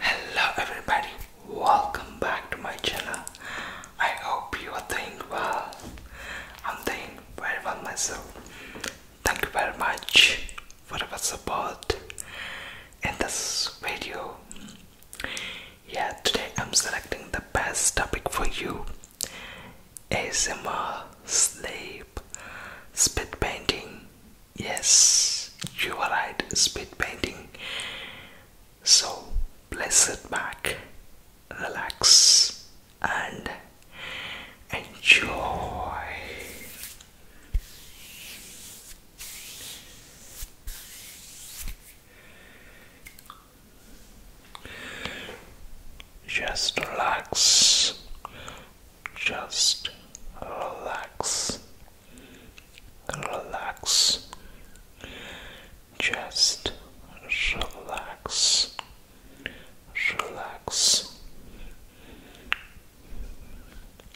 Hello everybody, welcome back to my channel. I hope you are doing well. I'm doing very well myself. Thank you very much for your support in this video. Yeah, today I'm selecting the best topic for you ASMR, sleep, spit painting. Yes, you are right, spit painting. So, please sit back, relax, and enjoy. Just relax, just relax, relax, just relax, relax.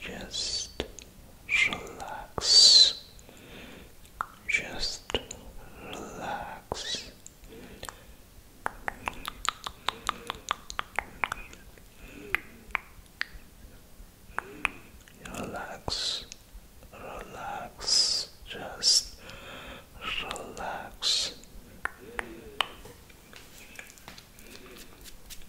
just relax, just relax. Relax, relax, just relax.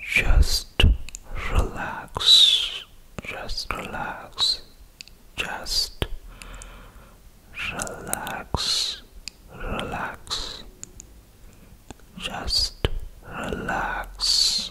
Just relax, just relax, just relax, relax, just relax.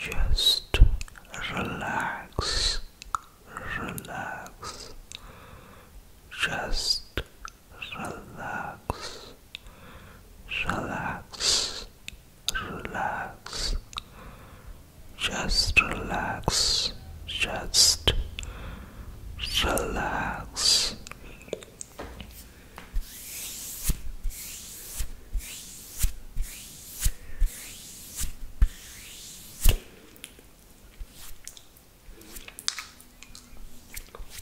Just relax, relax, just relax, relax, relax. Just relax, just relax.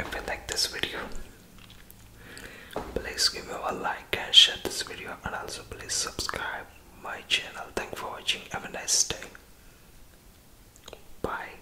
If you like this video, Please give me a like and share this video and also please subscribe my channel. Thank for watching. Have a nice day. Bye.